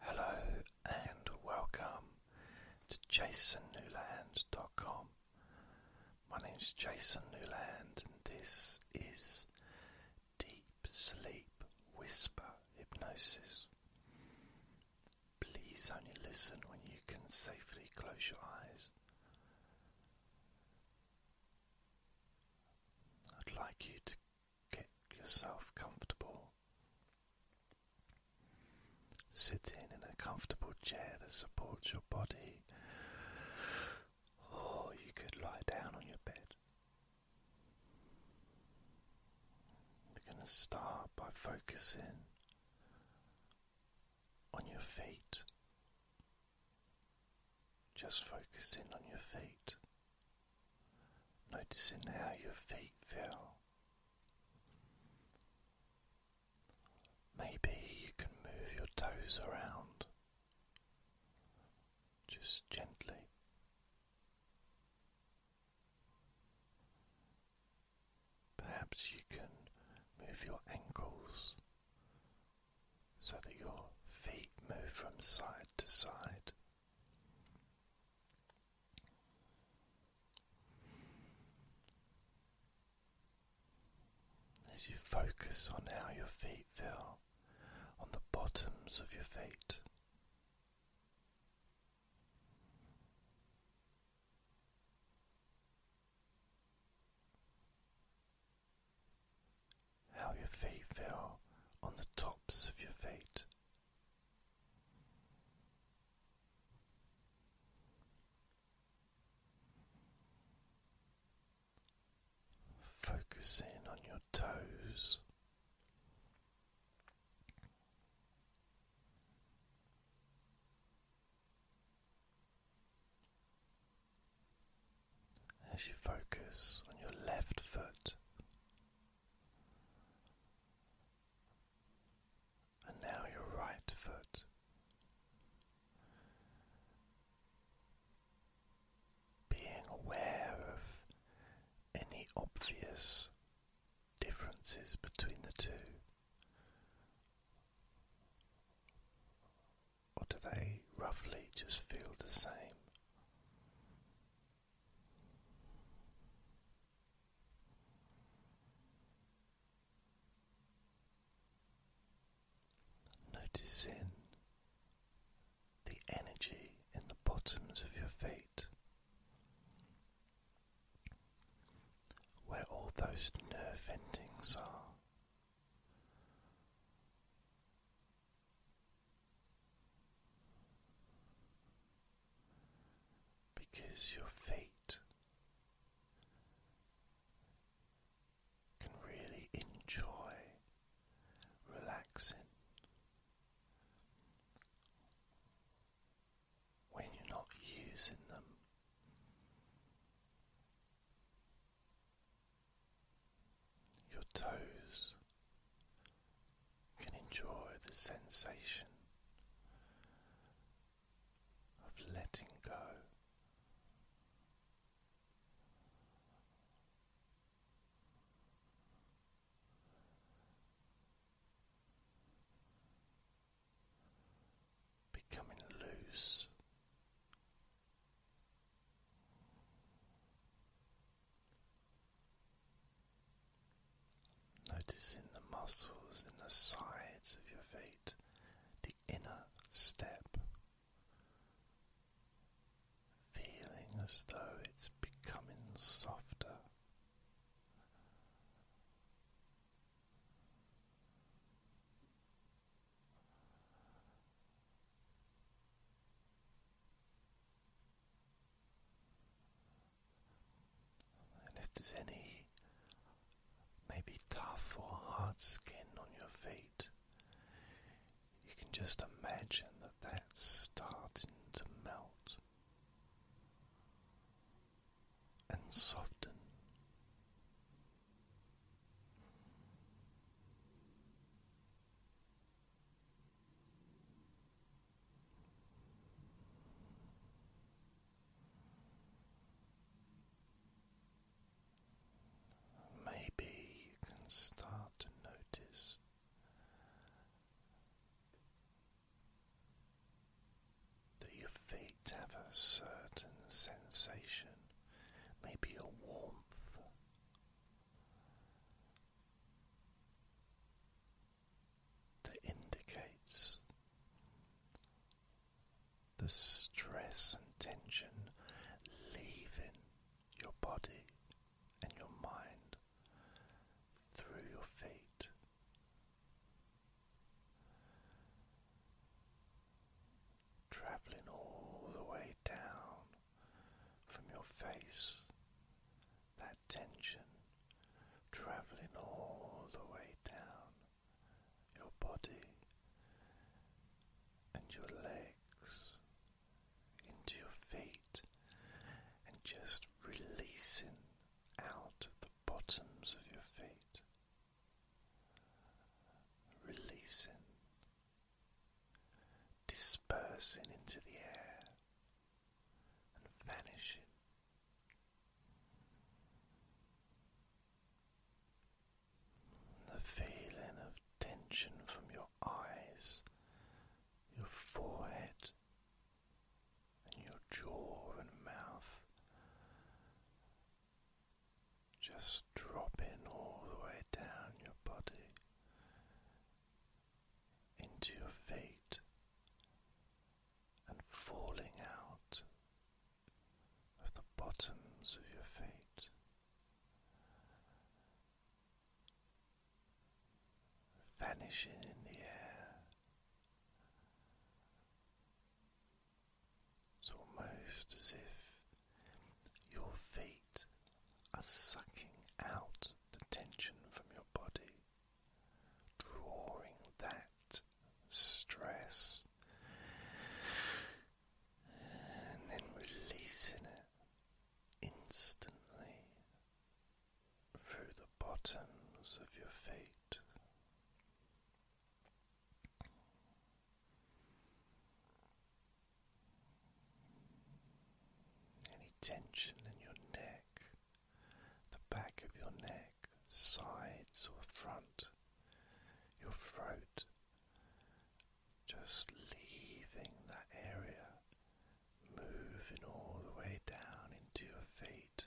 Hello and welcome to jasonnewland.com. My name is Jason Newland and this is Deep Sleep Whisper Hypnosis. Please only listen when you can safely close your eyes. I'd like you to Get yourself comfortable. Sitting in a comfortable chair that supports your body, or you could lie down on your bed. We're going to start by focusing on your feet, just focusing on your feet noticing how your feet feel. Maybe you can move your toes around just gently. Perhaps you can move your ankles so that your feet move from side to side. As you focus on how your feet feel on the bottoms of your feet how your feet feel on the tops of your feet. Focus in on your toes as you focus on your left foot. And now your right foot. Being aware of any obvious differences between the two, or do they roughly just feel the same? Noticing the energy in the bottoms of your feet, where all those nerve endings are because your feet can really enjoy relaxing when you're not using them. Your toes can enjoy the sensation of letting go. Becoming loose Noticing the muscles in the sides of your feet, the inner step, feeling as though it's becoming softer. And if there's any maybe tough or hard skin on your feet, you can just imagine that that's starting to melt and soften. Maybe you can start to notice that your feet have a certain sensation maybe a warmth. That indicates the stress and tension leaving your body and your mind through your feet traveling all the way down from your face, that tension traveling all the way down your body and your legs into your feet, and just releasing out of the bottoms of your feet releasing, dispersing into the air and vanishing. The feeling of tension from your eyes, your forehead, and your jaw and mouth just dropping all the way down your body into your feet and falling out of the bottoms of your feet. Vanishing in the air, it's almost as if your feet are sucking out the tension from your body, drawing that stress and then releasing it instantly through the bottoms of your feet. Any tension in your neck, the back of your neck, sides or front, your throat, just leaving that area, moving all the way down into your feet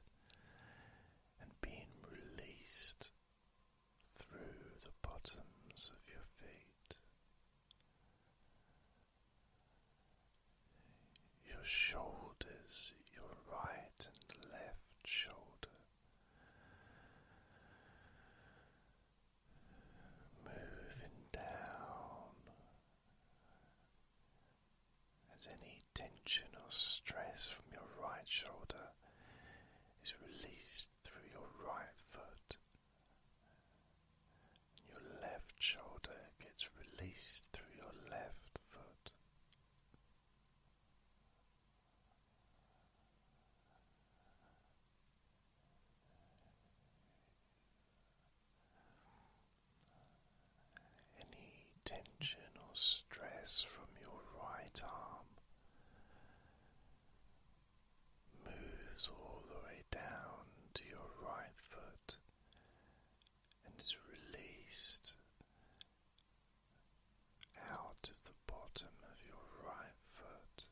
and being released through the bottoms of your feet, your shoulders, your right and left shoulder. Moving down as any tension or stress from your right shoulder is released through your right foot. Your left shoulder gets released through your left foot. Any tension or stress from your right arm moves all the way down to your right foot and is released out of the bottom of your right foot.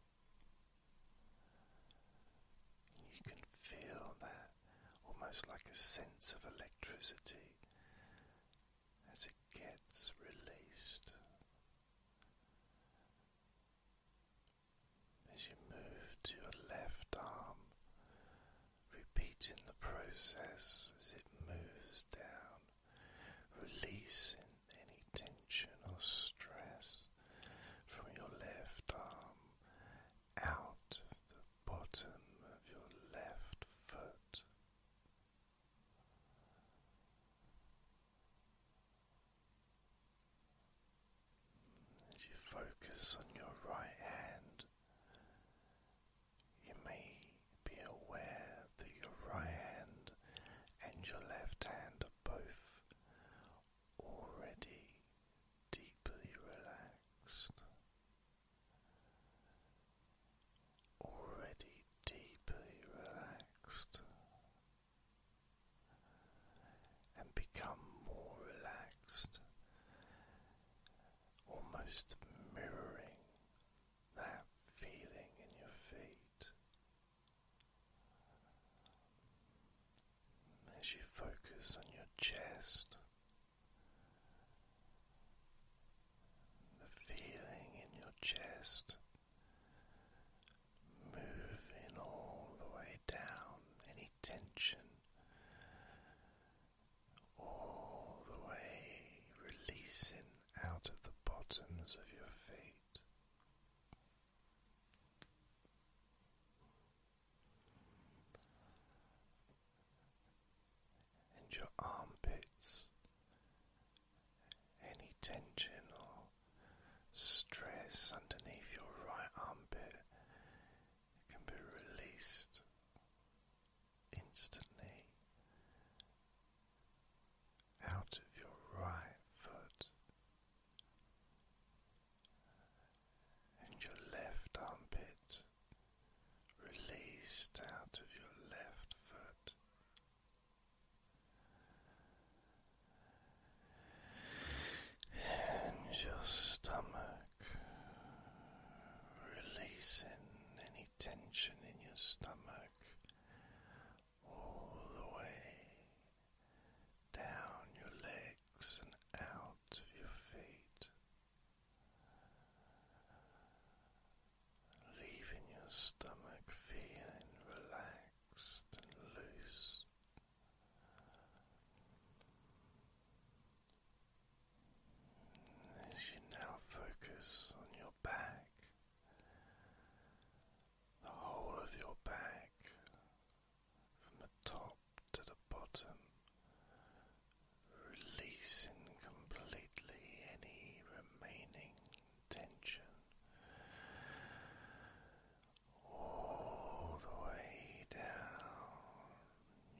You can feel that almost like a sense of electricity as it gets released. As you move to your left arm, repeating the process as it moves down, releasing any tension or stress from your left arm out of the bottom of your left foot. As you focus on your right hand, you may be aware that your right hand and your left hand are both already deeply relaxed already deeply relaxed and become more relaxed, almost mirroring that feeling in your feet. As you focus on your chest, the feeling in your chest moving all the way down, any tension all the way releasing out of the bottoms of your feet and your armpits, any tension or stress underneath your right armpit can be released instantly out of your right foot and your left armpit released out of your left foot. And your stomach, releasing any tension in your stomach all the way down your legs and out of your feet leaving your stomach feeling relaxed and loose. As you now focus on your back, the whole of your back from the top to the bottom, releasing completely any remaining tension all the way down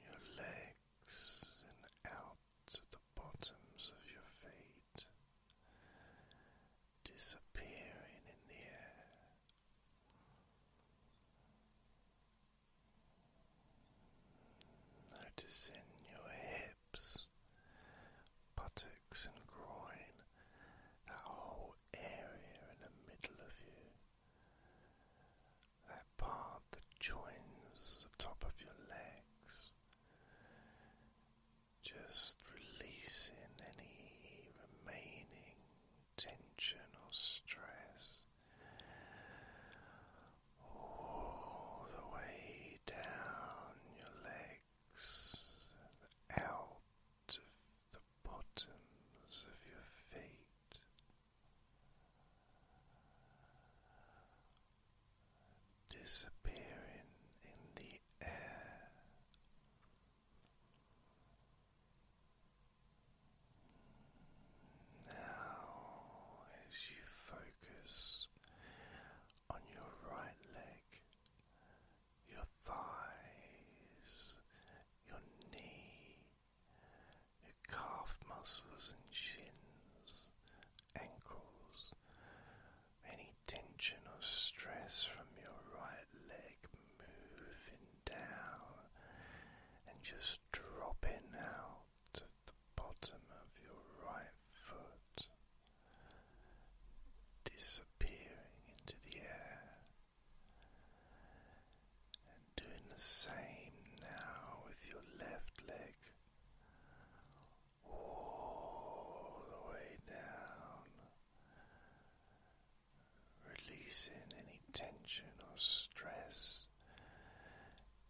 your legs and out to the bottoms of your feet, disappearing in the air. Noticing your hips, buttocks, and groin, that whole area in the middle of you, that part that joins the top of your legs, just releasing any remaining tension or stress all the way down your legs out of the bottoms of your feet. Disappearing in the air, now, as you focus on your right leg, your thighs, your knee, your calf muscles and shins, ankles, any tension or stress from your right leg moving down and just dropping out of the bottom of your right foot, disappearing into the air, and doing the same now with your left leg. All the way down releasing any tension or stress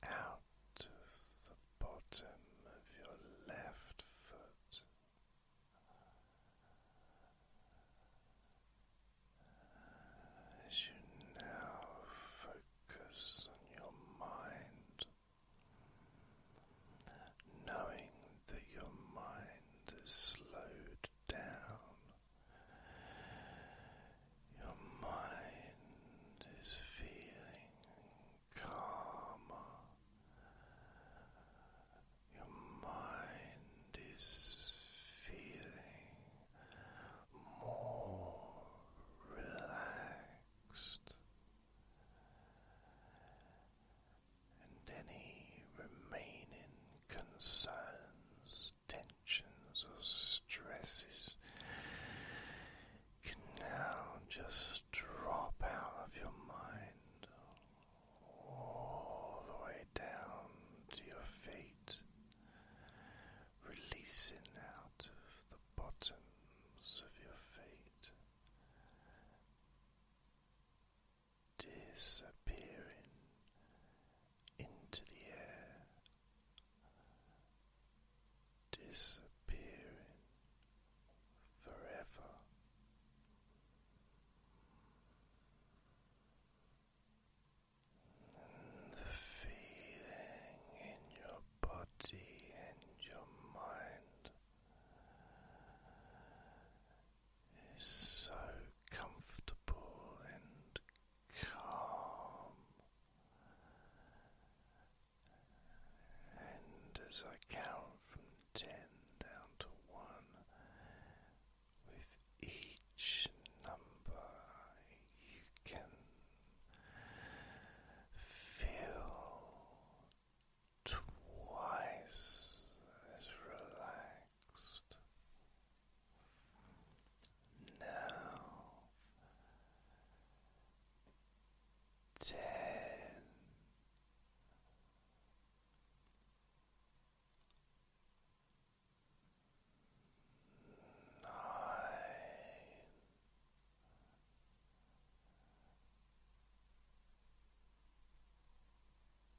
out of the bottom of your left foot. As you now focus on your mind, knowing that your mind has slowed down your mind is feeling calmer. Your mind is feeling more relaxed, and any remaining concerns tensions or stresses can now just drop out of your mind all the way down to your feet, releasing out of the bottoms of your feet disappearing into the air, disappearing forever. And the feeling in your body and your mind is so comfortable and calm. And as I count from ten down to one, with each number you can feel twice as relaxed relaxed. Now ten. Nine,